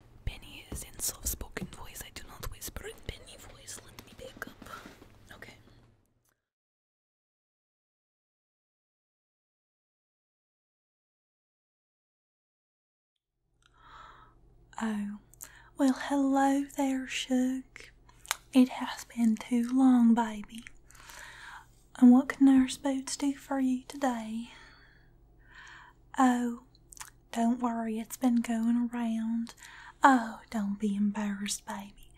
Look is in soft spoken voice. I do not whisper in Benny voice. Let me pick up. Okay. Oh, well, hello there, Shug. It has been too long, baby. And what can Nurse Boots do for you today? Oh, don't worry, it's been going around. Oh, don't be embarrassed, baby.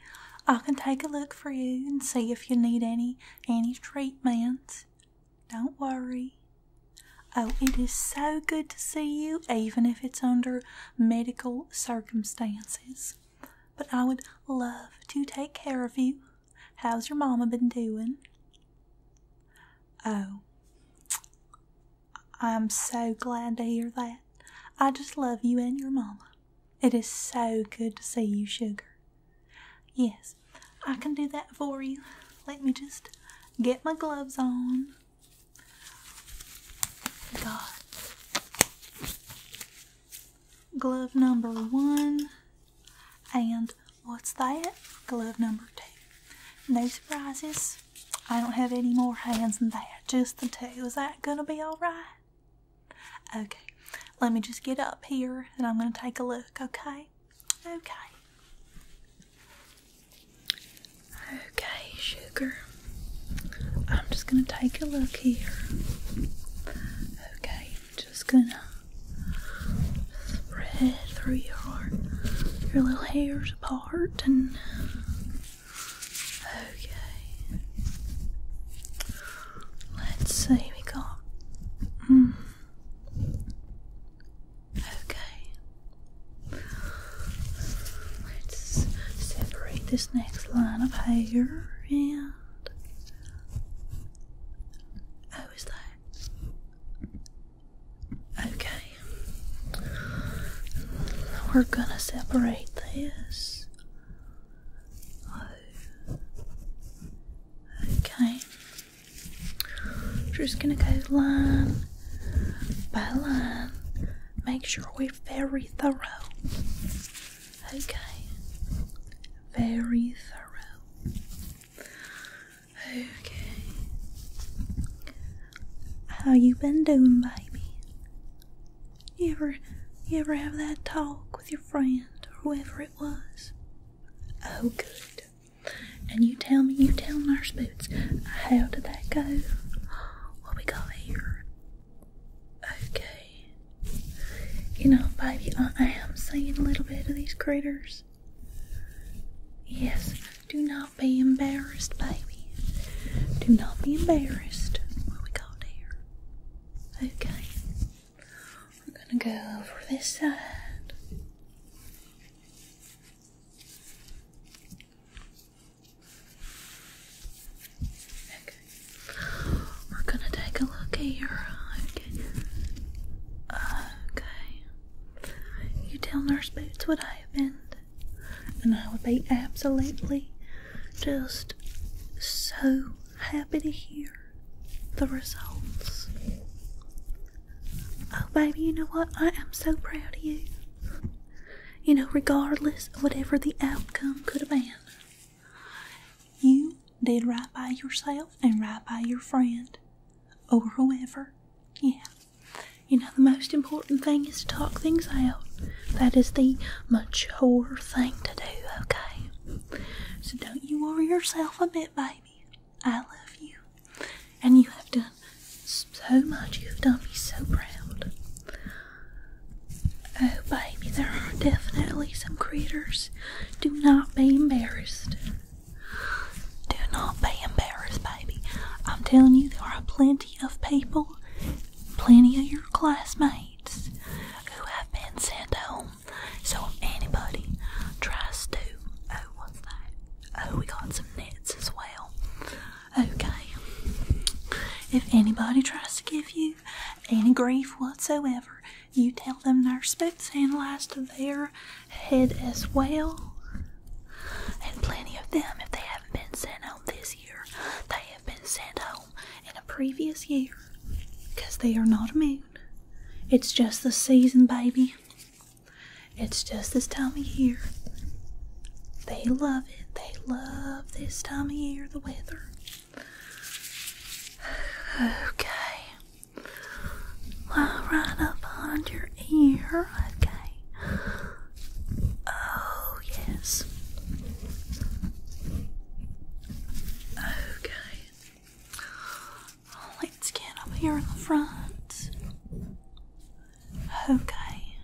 I can take a look for you and see if you need any any treatments. Don't worry. Oh, it is so good to see you, even if it's under medical circumstances. But I would love to take care of you. How's your mama been doing? Oh, I'm so glad to hear that. I just love you and your mama. It is so good to see you, sugar. Yes, I can do that for you. Let me just get my gloves on glove number one and what's that? Glove number two. No surprises. I don't have any more hands than that, just the two. Is that gonna be alright? Okay, let me just get up here and I'm gonna take a look, okay? Okay. Okay, sugar. I'm just going to take a look here. Okay, just going to spread through your your little hairs apart and okay. Let's see, we got mm. Okay. Let's separate this next line of hair and. Oh, that? Okay. We're gonna separate this. Oh. Okay. Just gonna go line by line. Um, make sure we're very thorough. Okay. Very thorough. Okay. How you been doing, baby? You ever you ever have that talk with your friend or whoever it was? Oh good. And you tell me, you tell Nurse Boots, how did that go? What we got here? Okay. You know, baby, I am seeing a little bit of these critters. Yes, do not be embarrassed, baby. Do not be embarrassed. What we got here? Okay. We're gonna go over this side. We're gonna take a look at your eye. Okay. You tell Nurse Boots what I happened, and I would be absolutely just so happy to hear the results. Oh, baby, you know what? I am so proud of you. You know, regardless of whatever the outcome could have been, you did right by yourself and right by your friend or whoever. Yeah. You know, the most important thing is to talk things out. That is the mature thing to do, okay? So don't you worry yourself a bit, baby. I love you. And you have done so much. You have done me so proud. Oh, baby, there are definitely some critters. Do not be embarrassed. Do not be embarrassed, baby. I'm telling you, there are plenty of people, plenty of your classmates who have been sent home. So, anybody tries to, oh, what's that? Oh, we got some nets as well. Okay. If anybody tries to give you any grief whatsoever, you tell them their spooks analyzed to their head as well. And plenty of them, if they haven't been sent home this year, they have been sent home in a previous year because they are not a immune. It's just the season, baby. It's just this time of year. They love it. They love this time of year, the weather. Okay. Well, right up on your ear. Okay. Oh, yes. Okay. Let's get up here in the front. Okay.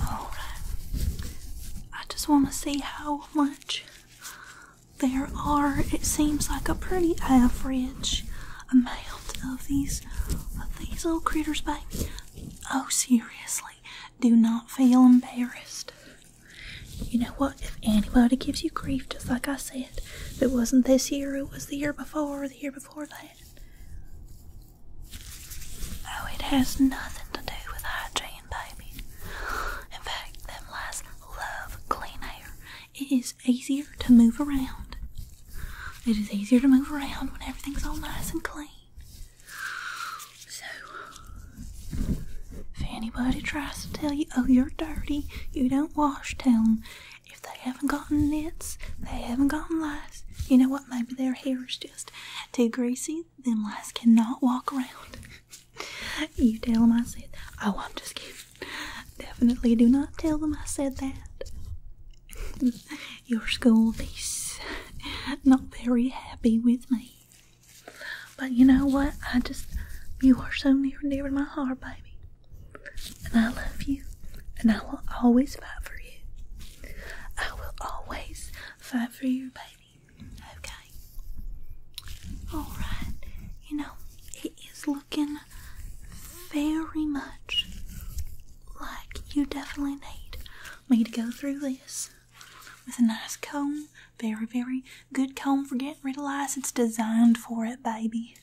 Alright. I just want to see how much there are. It seems like a pretty average amount of these of these little critters, baby. Oh, seriously. Do not feel embarrassed. You know what? If anybody gives you grief, just like I said, it wasn't this year, it was the year before, the year before that. No, oh, it has nothing to do with hygiene, baby. In fact, them lies love clean air. It is easier to move around. It is easier to move around when everything's all nice and clean. So, if anybody tries to tell you, oh, you're dirty, you don't wash, tell them. If they haven't gotten nits, they haven't gotten lice. You know what? Maybe their hair is just too greasy. Them lice cannot walk around. you tell them I said, oh, i not just kidding. Definitely do not tell them I said that. Your school is not very happy with me. But you know what? I just, you are so near and dear to my heart, baby. And I love you. And I will always fight for you. I will always fight for you, baby. Okay? Alright. You know, it is looking very much like you definitely need me to go through this with a nice comb. Very, very good comb for getting rid of lice. It's designed for it, baby.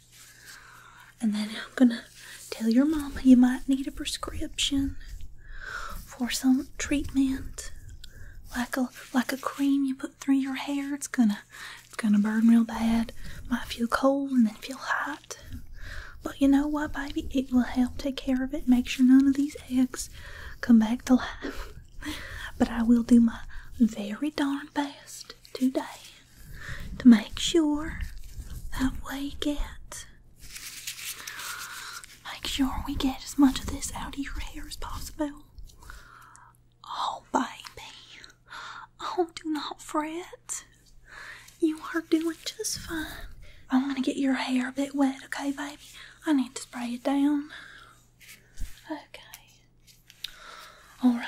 And then I'm gonna tell your mama you might need a prescription for some treatment. Like a like a cream you put through your hair. It's gonna it's gonna burn real bad. Might feel cold and then feel hot. But you know what, baby? It will help take care of it. Make sure none of these eggs come back to life. But I will do my very darn best today to make sure that we get make sure we get as much of this out of your hair as possible. Oh baby. Oh do not fret. You are doing just fine. I'm gonna get your hair a bit wet, okay baby? I need to spray it down. Okay. All right.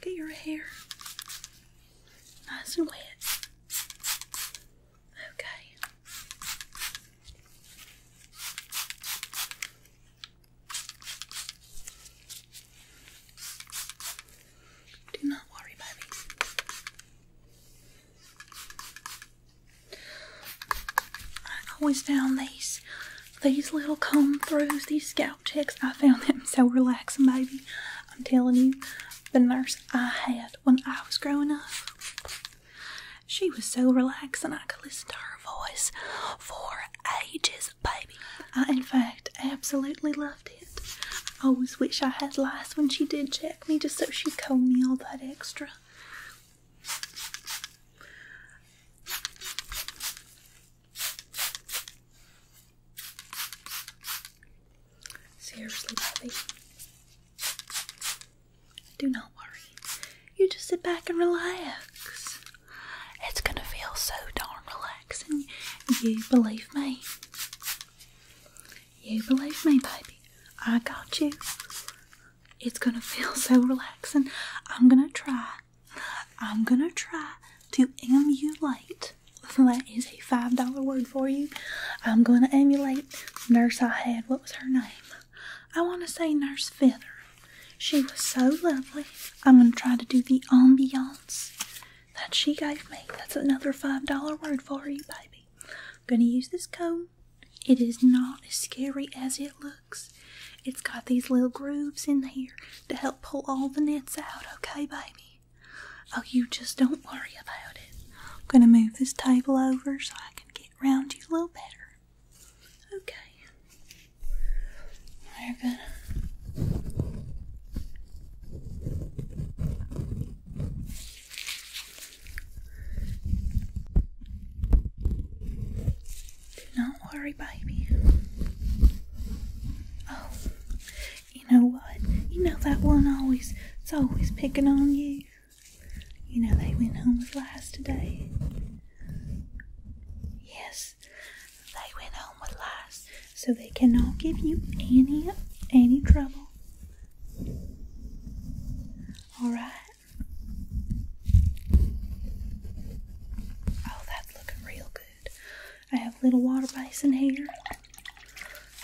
Get your hair nice and wet. Okay. Do not worry baby. I always found these these little comb throughs, these scalp checks, I found them so relaxing, baby. I'm telling you, the nurse I had when I was growing up, she was so relaxing. I could listen to her voice for ages, baby. I, in fact, absolutely love I always wish I had lice when she did check me, just so she'd call me all that extra. Seriously, Do not worry. You just sit back and relax. It's gonna feel so darn relaxing. You believe me. You believe me, baby. I got you. It's gonna feel so relaxing. I'm gonna try. I'm gonna try to emulate. That is a five dollar word for you. I'm gonna emulate nurse I had. What was her name? I want to say Nurse Feather. She was so lovely. I'm gonna try to do the ambiance that she gave me. That's another $5 word for you, baby. going to use this comb. It is not as scary as it looks. It's got these little grooves in here to help pull all the nets out, okay, baby? Oh, you just don't worry about it. going to move this table over so I can get around you a little better. Okay. We're going to do not worry, baby. Oh, you know what? You know that one always, it's always picking on you. You know they went home with lies today. Yes, they went home with lies so they cannot give you any any trouble. All right. Oh, that's looking real good. I have little water basin here.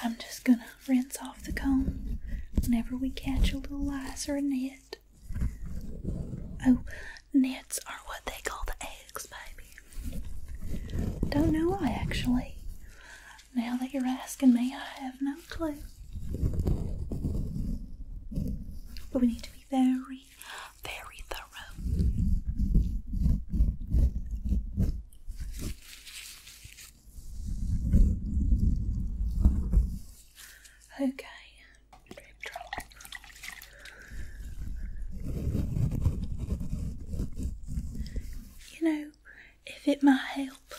I'm just gonna rinse off the comb whenever we catch a little lice or a net. Oh, nets are what they call the eggs. Don't know I actually. Now that you're asking me, I have no clue. But we need to be very, very thorough. Okay. You know, if it might help,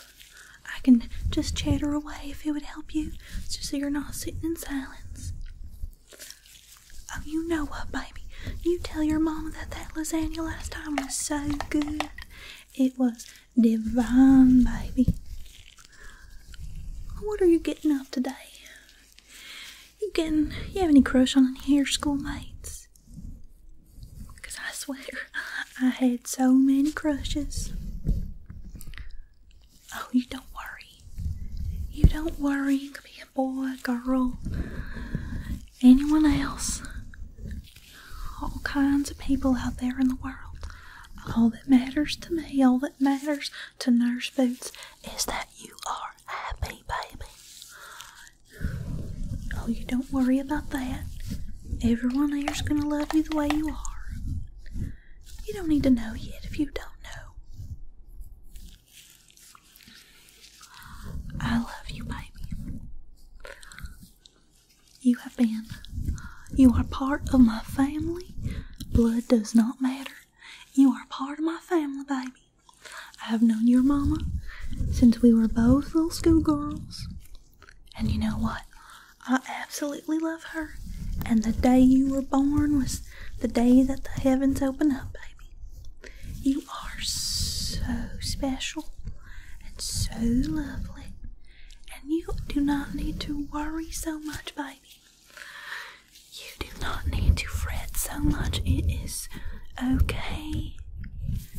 I can just chatter away if it would help you, just so you're not sitting in silence. Oh, you know what, baby? You tell your mama that that lasagna last time was so good. It was divine, baby. What are you getting up today? You getting? You have any crush on any of your schoolmates? Cause I swear, I had so many crushes. Oh, you don't worry. You don't worry. You could be a boy, a girl, anyone else. All kinds of people out there in the world. All that matters to me, all that matters to Nurse Boots, is that you are happy, baby. Oh, you don't worry about that. Everyone here's gonna love you the way you are. You don't need to know yet if you don't know. I love you, baby. You have been. You are part of my family. Blood does not matter. You are part of my family, baby. I have known your mama since we were both little schoolgirls. And you know what? I absolutely love her. And the day you were born was the day that the heavens opened up, baby. You are so special and so lovely. And you do not need to worry so much, baby. You do not need to fret so much. It is okay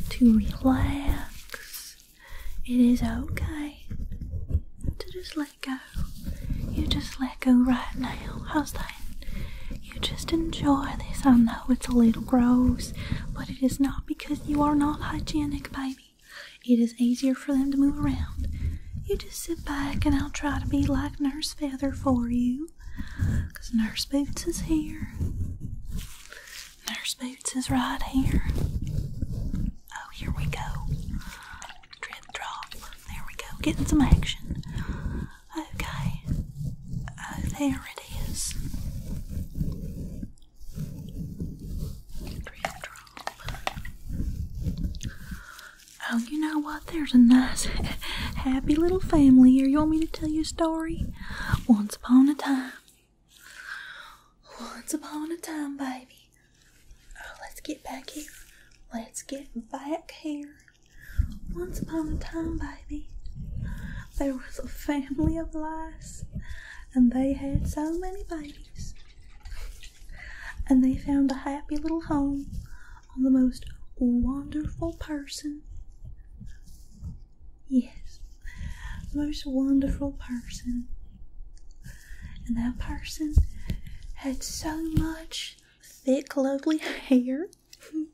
to relax. It is okay to just let go. You just let go right now. How's that? You just enjoy this. I know it's a little gross, but it is not because you are not hygienic, baby. It is easier for them to move around. You just sit back and I'll try to be like Nurse Feather for you because Nurse Boots is here. Nurse Boots is right here. Oh, here we go. Drip drop. There we go. Getting some action. Okay. Oh, there it is. Drip drop. Oh, you know what? There's a nice, happy little family here. You want me to tell you a story? Once upon a time. Once upon a time, baby. Oh, let's get back here. Let's get back here. Once upon a time, baby, there was a family of lice, and they had so many babies. And they found a happy little home i the most wonderful person. Yes, the most wonderful person. And that person had so much thick, lovely hair. and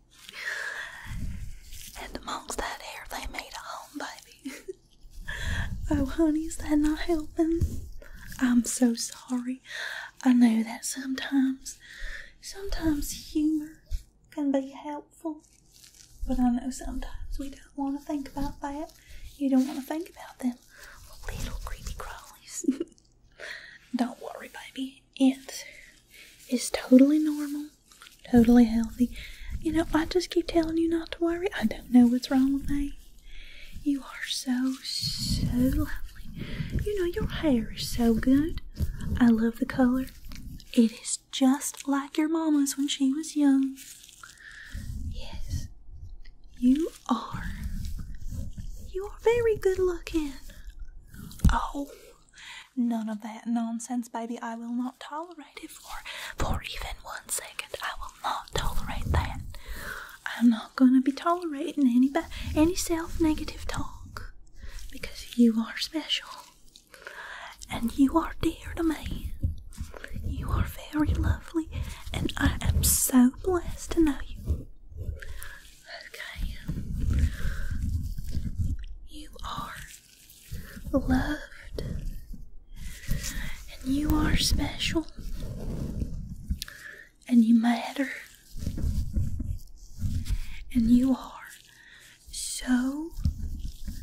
amongst that hair, they made a home, baby. oh, honey, is that not helping? I'm so sorry. I know that sometimes Sometimes humor can be helpful, but I know sometimes we don't want to think about that. You don't want to think about them little creepy crawlies. don't worry, baby. It is totally normal, totally healthy. You know, I just keep telling you not to worry. I don't know what's wrong with me. You are so so lovely. You know, your hair is so good. I love the color. It is just like your mama's when she was young. Yes, you are. You are very good looking. Oh, none of that nonsense, baby. I will not tolerate it for, for even one second. I will not tolerate that. I'm not gonna be tolerating any ba any self-negative talk because you are special and you are dear to me. You are very lovely and I am so blessed to know you. Okay. You are loved and you are special and you matter. And you are so,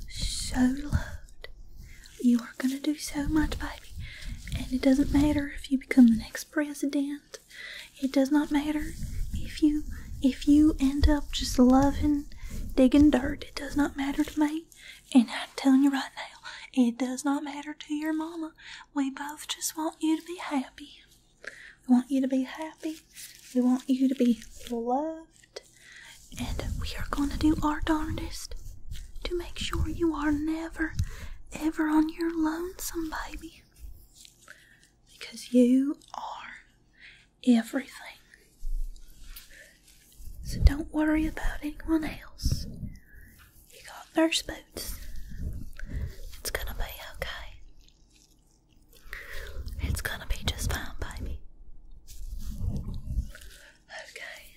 so loved. You are going to do so much, baby. And it doesn't matter if you become the next president. It does not matter if you if you end up just loving digging dirt. It does not matter to me. And I'm telling you right now, it does not matter to your mama. We both just want you to be happy. We want you to be happy. We want you to be loved. And we are going to do our darndest to make sure you are never, ever on your lonesome, baby. Because you are everything. So don't worry about anyone else. You got nurse boots. It's gonna be okay. It's gonna be just fine, baby. Okay.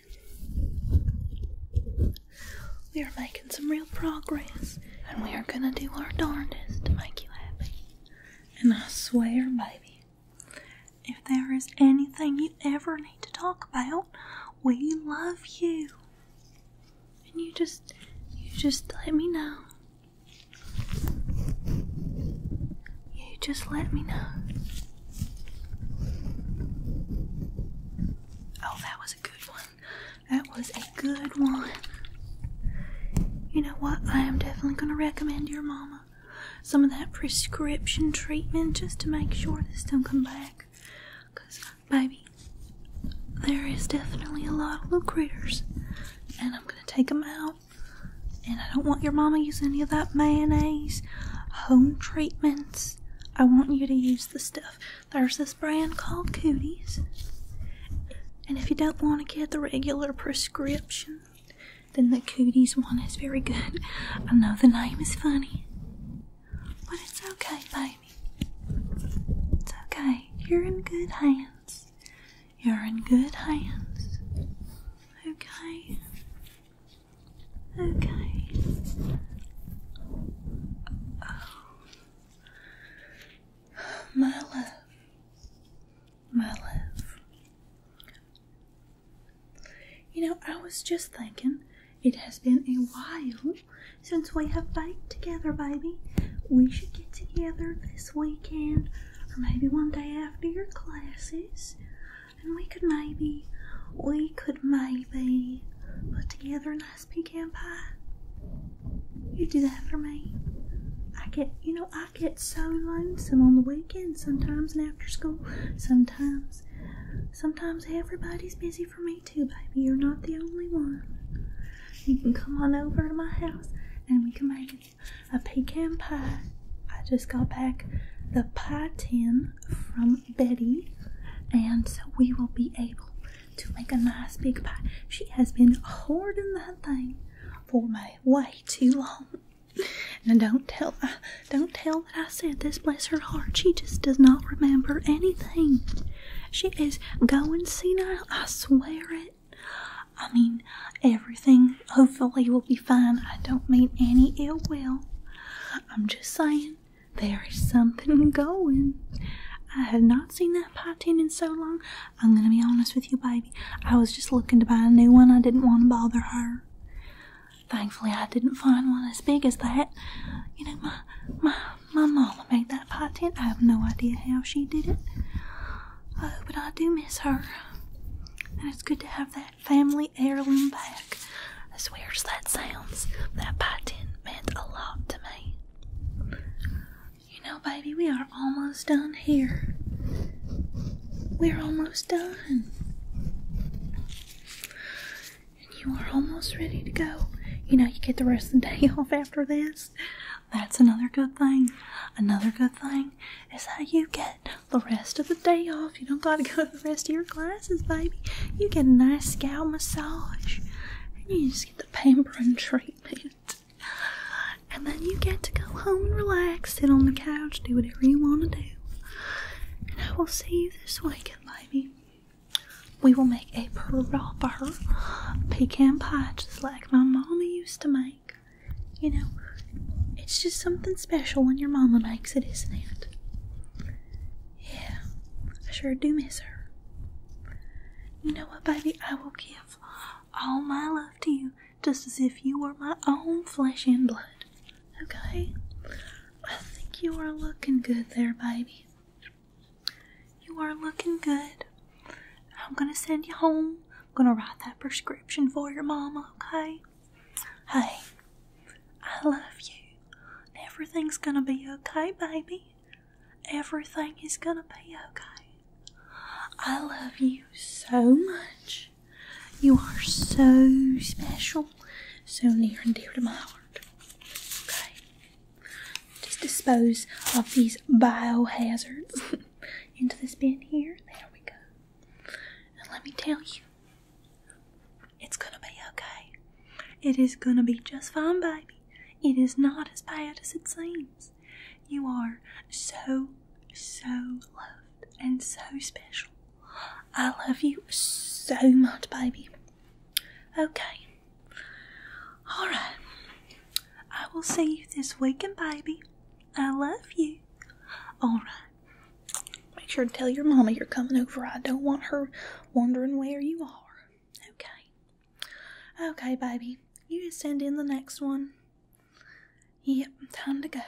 We are making some real progress, and we are gonna do our darndest to make you happy. And I swear, baby, if there is anything you ever need to talk about, we love you and you just you just let me know you just let me know oh that was a good one that was a good one you know what i am definitely going to recommend your mama some of that prescription treatment just to make sure this don't come back because Baby, there is definitely a lot of little critters, and I'm gonna take them out. And I don't want your mama using any of that mayonnaise, home treatments. I want you to use the stuff. There's this brand called Cooties. And if you don't want to get the regular prescription, then the Cooties one is very good. I know the name is funny, but it's okay, baby. It's okay. You're in good hands. You're in good hands. Okay. Okay. Oh. My love. My love. You know, I was just thinking it has been a while since we have baked together, baby. We should get together this weekend or maybe one day after your classes. And we could maybe, we could maybe put together a nice pecan pie. You do that for me. I get, you know, I get so lonesome on the weekends sometimes and after school. Sometimes, sometimes everybody's busy for me too, baby. You're not the only one. You can come on over to my house and we can make a pecan pie. I just got back the pie tin from Betty, and so we will be able to make a nice big pie. She has been hoarding that thing for way too long. And don't tell, don't tell I said this, bless her heart, she just does not remember anything. She is going senile, I swear it. I mean, everything hopefully will be fine. I don't mean any ill will. I'm just saying, there is something going. I have not seen that potting in so long. I'm gonna be honest with you, baby. I was just looking to buy a new one. I didn't want to bother her. Thankfully, I didn't find one as big as that. You know, my my my mama made that pot tent. I have no idea how she did it. Oh, but I do miss her. And it's good to have that family heirloom back. I swear, as that sounds, that pie tin meant a lot to me. You know, baby, we are almost done here. We're almost done and you are almost ready to go, you know, you get the rest of the day off after this. That's another good thing. Another good thing is how you get the rest of the day off. You don't got to go to the rest of your classes, baby. You get a nice scalp massage, and you just get the pampering treatment. And then you get to go home and relax, sit on the couch, do whatever you want to do. And I will see you this weekend, baby we will make a proper pecan pie just like my mama used to make. You know, it's just something special when your mama makes it, isn't it? Yeah, I sure do miss her. You know what, baby? I will give all my love to you just as if you were my own flesh and blood. Okay? I think you are looking good there, baby. You are looking good. I'm gonna send you home. I'm gonna write that prescription for your mama, okay? Hey, I love you. Everything's gonna be okay, baby. Everything is gonna be okay. I love you so much. You are so special, so near and dear to my heart. Okay. Just dispose of these biohazards into this bin here. There we go. And let me tell you, it's gonna be okay. It is gonna be just fine, baby. It is not as bad as it seems. You are so, so loved and so special. I love you so much, baby. Okay. Alright. I will see you this weekend, baby. I love you. Alright. Make sure to tell your mama you're coming over. I don't want her wondering where you are. Okay. Okay, baby. You send in the next one. Yep, time to go.